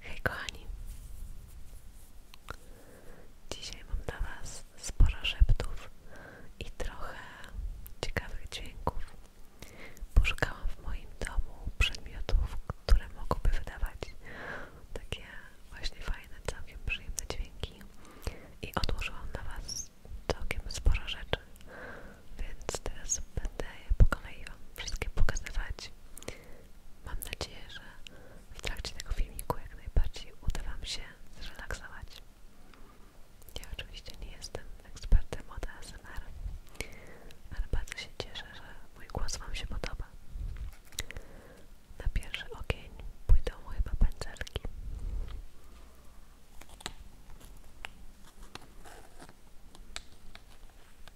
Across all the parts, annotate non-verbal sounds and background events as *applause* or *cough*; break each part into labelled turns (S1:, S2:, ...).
S1: Hej kochani! Dzisiaj mam dla Was sporo szeptów i trochę ciekawych dźwięków. Poszukałam w moim domu przedmiotów, które mogłyby wydawać takie właśnie fajne, całkiem przyjemne dźwięki i odłożyłam na Was całkiem sporo rzeczy, więc teraz będę je po kolei Wam wszystkie pokazywać Mam nadzieję, że w trakcie tego filmiku jak najbardziej uda Wam się zrelaksować. Ja oczywiście nie jestem ekspertem od ASMR, ale bardzo się cieszę, że mój głos Wam się podoba. Na pierwszy ogień pójdą moje pędzelki.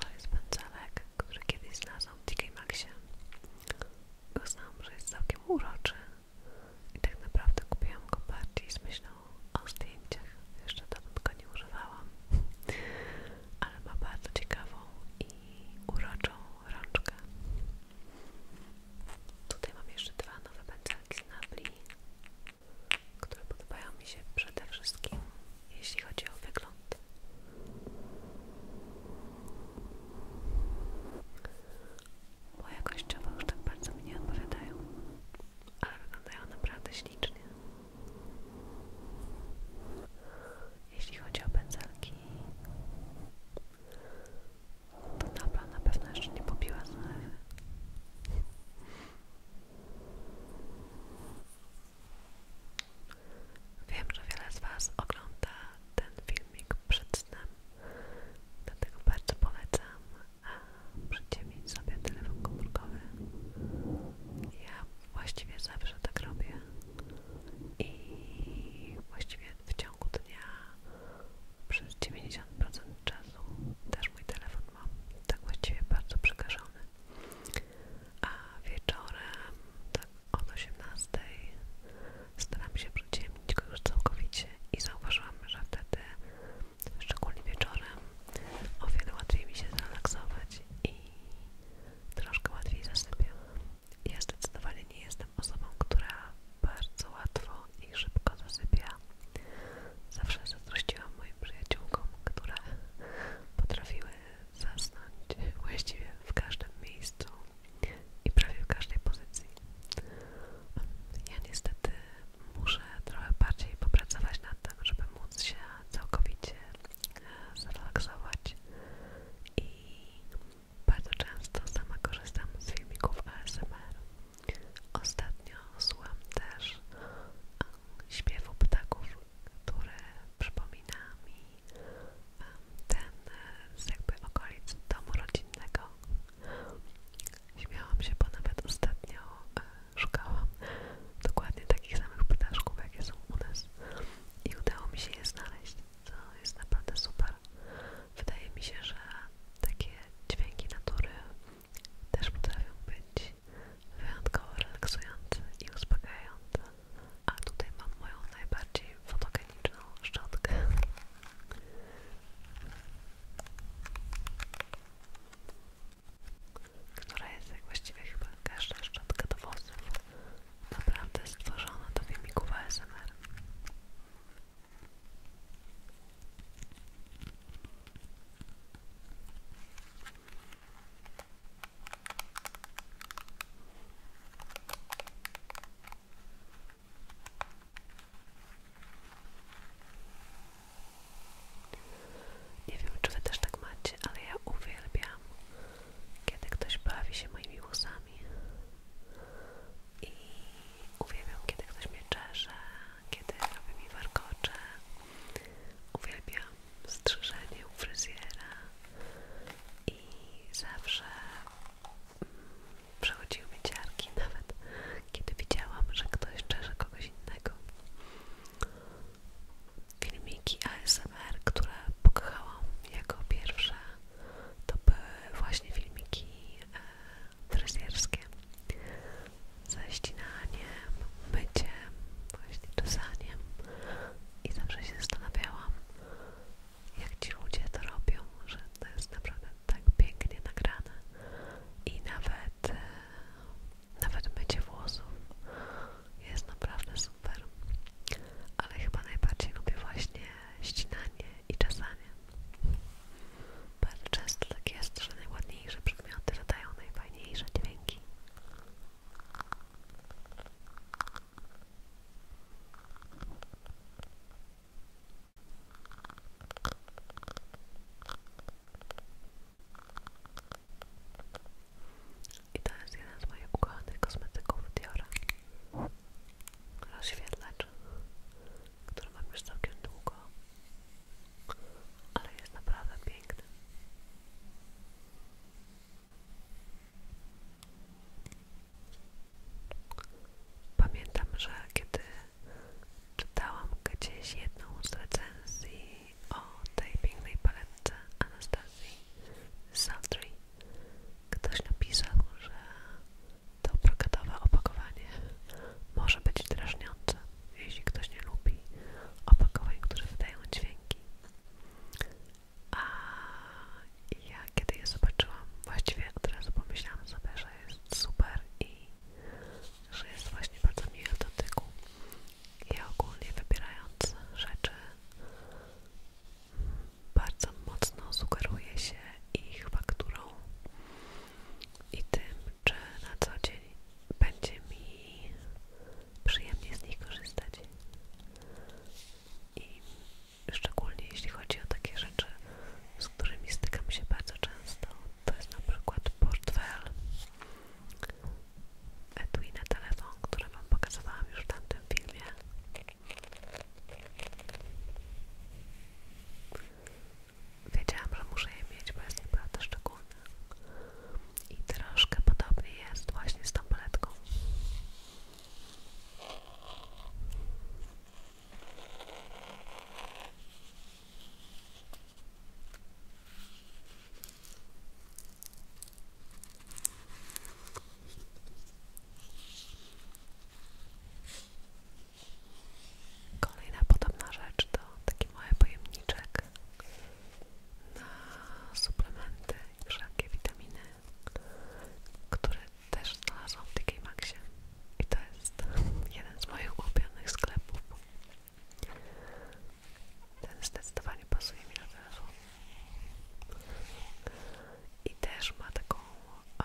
S1: To jest pędzelek, który kiedyś znalazłam w TK Maxie. Uznałam, że jest całkiem uroczy i tak naprawdę kupiłam go bardziej z myślą o zdjęciach. Jeszcze dawno go nie używałam, ale ma bardzo ciekawą i uroczą rączkę. Tutaj mam jeszcze dwa nowe pędzelki z Napli, które podobają mi się przede wszystkim, jeśli chodzi o wygląd. Bo jakościowo już tak bardzo mi nie odpowiadają, ale wyglądają naprawdę ślicznie. Jeśli chodzi o pędzelki, to dobra, na pewno jeszcze nie pobiła. zalewy. Wiem, że wiele z Was ogląda ten filmik przed snem, dlatego bardzo polecam przyciemnić sobie telefon komórkowy. Ja właściwie zawsze tak robię i właściwie w ciągu dnia przez 90% czasu też mój telefon mam tak właściwie bardzo przekażony a wieczorem tak od 18 staram się przyciemnić go już całkowicie i zauważyłam, że wtedy szczególnie wieczorem o wiele łatwiej mi się zrelaksować i troszkę łatwiej zasypiam ja zdecydowanie nie jestem osobą, która bardzo łatwo i szybko zasypia. Zawsze zazdrościłam moim przyjaciółkom, które potrafiły zasnąć właściwie w każdym miejscu i prawie w każdej pozycji. Ja niestety muszę trochę bardziej popracować nad tym, żeby móc się całkowicie e, zrelaksować i bardzo często sama korzystam z filmików ASMR Ostatnio słucham też um, śpiewu ptaków, które przypomina mi um, ten e, z jakby okolic domu rodzinnego. Śmiałam się, bo nawet ostatnio e, szukałam dokładnie takich samych ptaszków, jakie są u nas i udało mi się je znaleźć, co jest naprawdę super. Wydaje mi się, że takie dźwięki natury też potrafią być wyjątkowo relaksujące i uspokajające. A tutaj mam moją najbardziej fotogeniczną szczotkę. Która jest jak właściwie chyba każda szczotka do włosów. Naprawdę stworzona do filmików ASMR. Nie wiem, czy wy też tak macie, ale ja uwielbiam, kiedy ktoś bawi się moimi włosami i uwielbiam, kiedy ktoś mnie czesze, kiedy robi mi warkocze. Uwielbiam strzyżenie u fryzjera i zawsze mm, przechodziły mi ciarki, *laughs* nawet kiedy widziałam, że ktoś czesze kogoś innego. Filmiki ASMR, które pokochałam jako pierwsze, to były właśnie filmiki e, fryzjerskie ze ścinaniem, myciem, właśnie czesaniem i zawsze się zastanawiałam jak ci ludzie to robią, że to jest naprawdę tak pięknie nagrane i nawet e, nawet mycie włosów jest naprawdę super ale chyba najbardziej lubię właśnie ścinanie i czasami bardzo często tak jest, że najładniejsze przedmioty wydają najfajniejsze dźwięki. I to jest jeden z moich ukochanych kosmetyków Diora. Rozświetlacz który którą mam już całkiem długo, ale jest naprawdę piękny. Pamiętam, że kiedy czytałam gdzieś jedną z recenzji o tej pięknej paletce Anastazji Saldry, ktoś napisał, że to brokatowe opakowanie może być drażniące, jeśli ktoś nie lubi opakowań, które wydają dźwięki. A ja kiedy je zobaczyłam, właściwie od razu pomyślałam sobie, że jest super i że jest właśnie bardzo miły w dotyku. i ogólnie wybierając rzeczy bardzo mocno sugeruje się ich fakturą i tym, czy na co dzień będzie mi przyjemnie z nich korzystać. I szczególnie jeśli chodzi o takie rzeczy, z którymi stykam się bardzo często, to jest na przykład portfel etui telefon, który Wam pokazywałam już w tamtym filmie Wiedziałam, że muszę je mieć, bo jest naprawdę szczególne. I troszkę podobnie jest właśnie z tą paletką. Kolejna podobna rzecz to taki mały pojemniczek na suplementy i wszelkie witaminy, które też znalazłam w TK Maxie i to jest jeden z moich ulubionych sklepów. Ten zdecydowanie pasuje mi na telefon. I też ma taką a,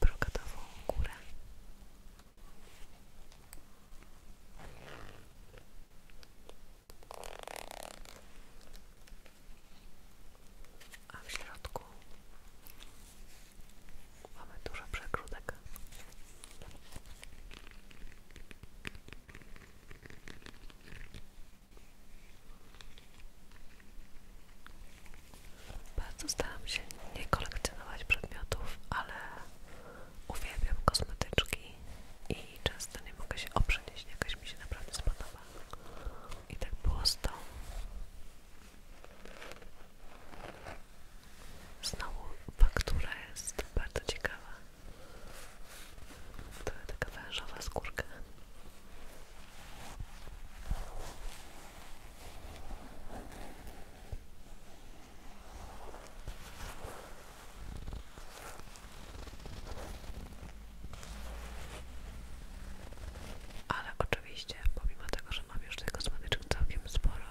S1: brokatową A w środku mamy dużo przegródek. Bardzo staram się nie kolekcjonować przedmiotów, ale uwielbiam kosmetyczki i często nie mogę się oprzeć, jeśli jakaś mi się naprawdę spodoba. I tak było z tą. Znowu faktura jest bardzo ciekawa. To jest taka wężowa skórka. Ale oczywiście, pomimo tego, że mam już tych kosmetyczek całkiem sporo,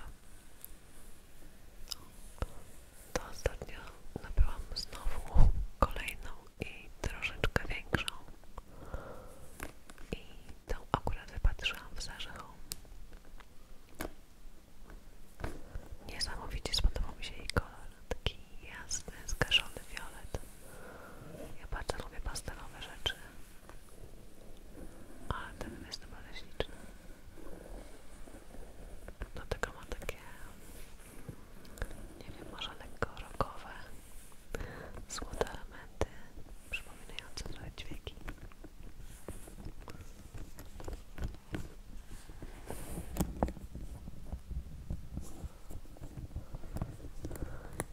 S1: to ostatnio nabyłam znowu kolejną i troszeczkę większą i tą akurat wypatrzyłam w Zarzechu. Niesamowicie spodobał mi się jej kolor, taki jasny, zgaszony fiolet. Ja bardzo lubię pastelowe rzeczy, ale ten jest naprawdę śliczny. Do tego ma takie nie wiem, może lekko rogowe, złote elementy przypominające trochę dźwięki.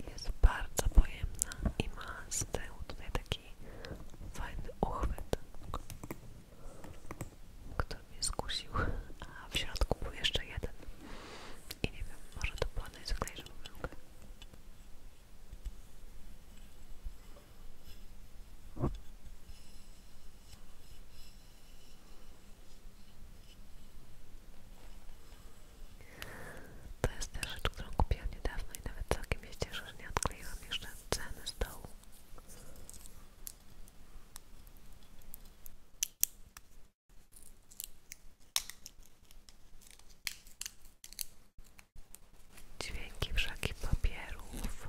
S1: Jest bardzo pojemna i ma z tyłu tutaj taki fajny uchwyt, który mnie skusił, a w środku był jeszcze jeden. I nie wiem, może to było najzwyklejszą mękę. To jest też rzecz, którą kupiłam niedawno i nawet całkiem się cieszę, że nie odkleiłam jeszcze ceny z dołu. Dźwięki wszaki papierów,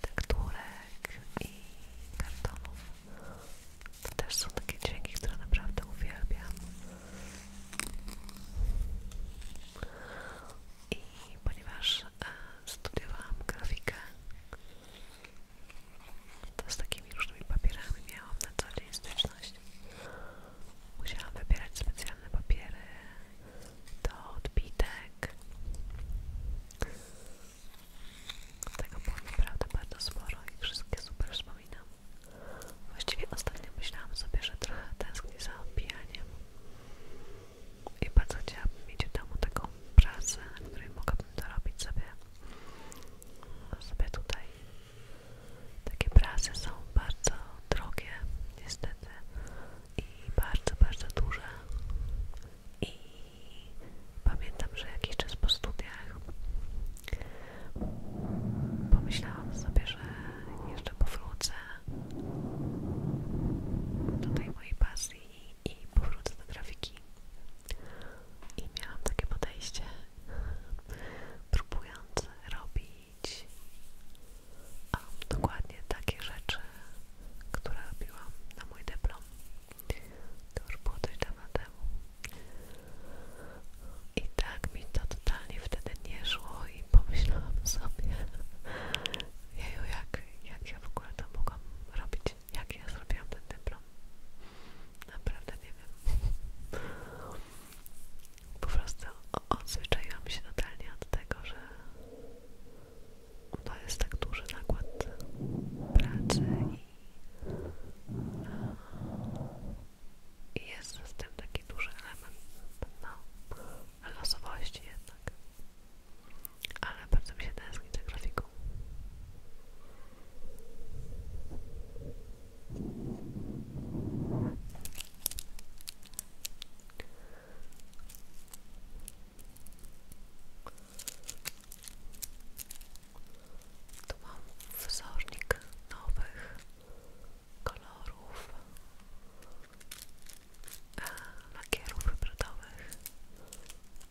S1: tekturek i kartonów. To też są takie dźwięki, które naprawdę uwielbiam. I ponieważ e, studiowałam grafikę to z takimi różnymi papierami miałam na co dzień styczność. Musiałam wybierać specjalne papiery do odbitek. Tego było naprawdę bardzo sporo i wszystkie super wspominam. Właściwie ostatnio myślałam sobie, że trochę tęsknię za odbijaniem i bardzo chciałabym mieć w domu taką pracę, na której mogłabym dorobić sobie sobie tutaj takie prasy są bardzo drogie niestety i bardzo, bardzo duże i pamiętam, że jakiś czas po studiach pomyślałam sobie, że jeszcze powrócę do tej mojej pasji i powrócę do grafiki. I miałam takie podejście, próbując robić um, dokładnie takie rzeczy, które robiłam na mój dyplom. To już było dość dawno temu. I tak mi to totalnie wtedy nie szło i pomyślałam sobie, *laughs* jeju, jak, jak ja w ogóle to mogłam robić jak ja zrobiłam ten dyplom. Naprawdę nie wiem. Po prostu odzwyczaiłam się totalnie od tego, że to jest tak duży nakład pracy i, jest z tym taki duży element no, losowości jednak. Ale bardzo mi się tęskni te grafiku. ook. Tu mam wzornik nowych kolorów lakierów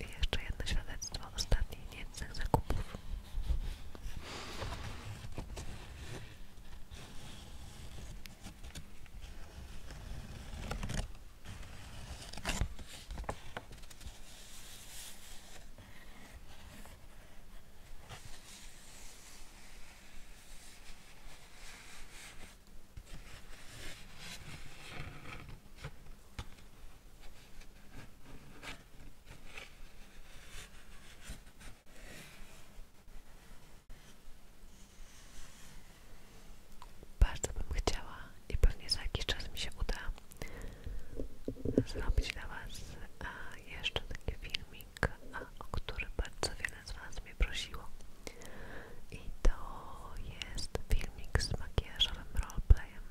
S1: I jeszcze jedno świadectwo ostatnich niecnych zakupów. Bardzo bym chciała i pewnie za jakiś czas mi się uda zrobić dla Was e, jeszcze taki filmik, e, o który bardzo wiele z Was prosiło. I to jest filmik z makijażowym roleplayem.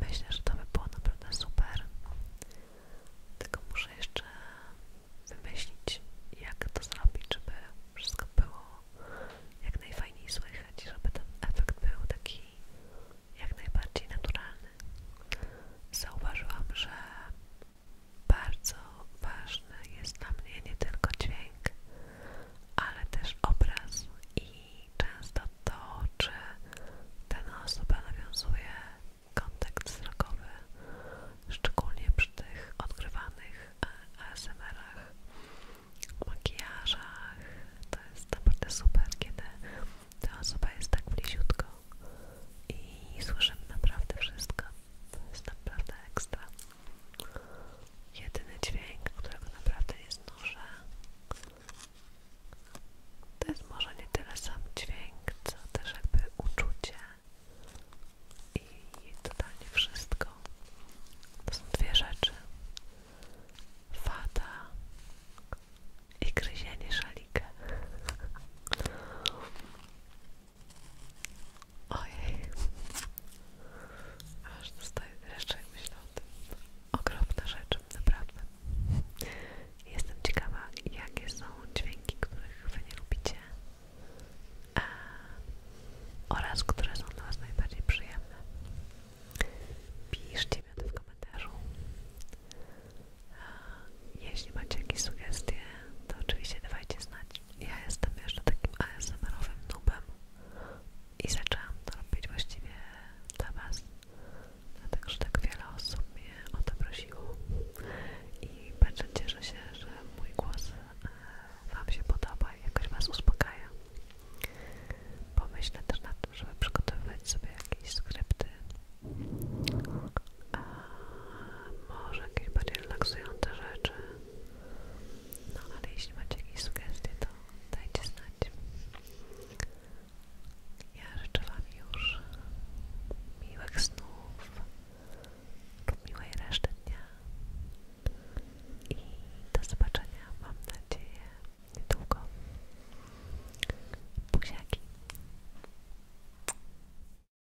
S1: Myślę, że to by było naprawdę super. Tylko muszę jeszcze wymyślić, jak to zrobić, żeby wszystko było jak najfajniej słychać, żeby ten efekt był taki jak najbardziej naturalny. Zauważyłam, że bardzo ważny jest dla mnie nie tylko dźwięk, ale też obraz i często to, czy dana osoba nawiązuje kontakt wzrokowy, szczególnie przy tych odgrywanych e, ASMR-ach, makijażach. To jest naprawdę super, kiedy ta osoba jest tak bliziutko i słyszymy naprawdę wszystko. To jest naprawdę ekstra. Jedyny dźwięk, którego naprawdę nie znoszę, to jest może nie tyle sam dźwięk, co też jakby uczucie i totalnie wszystko. To są dwie rzeczy. Fada i gryzienie szalika. Ojej, aż dostaję jeszcze jak myślę o tym. Okropna rzecz, naprawdę. Jestem ciekawa, jakie są dźwięki, których Wy nie lubicie a, oraz które są dla Was najbardziej przyjemne. Piszcie mi to w komentarzu. jeśli macie jakieś sugestie, to oczywiście dawajcie znać ja jestem jeszcze takim ASMR-owym i zaczęłam to robić właściwie dla Was, dlatego że tak wiele osób mnie o to prosiło i bardzo cieszę się, że mój głos e, Wam się podoba i jakoś Was uspokaja. Pomyślę też nad tym, żeby przygotowywać sobie jakieś skrypty a e, może jakieś bardziej relaksujące rzeczy. No ale jeśli macie jakieś sugestie, to dajcie znać. Ja życzę Wam już miłych snów lub miłej reszty dnia i do zobaczenia, mam nadzieję, niedługo. Buziaki!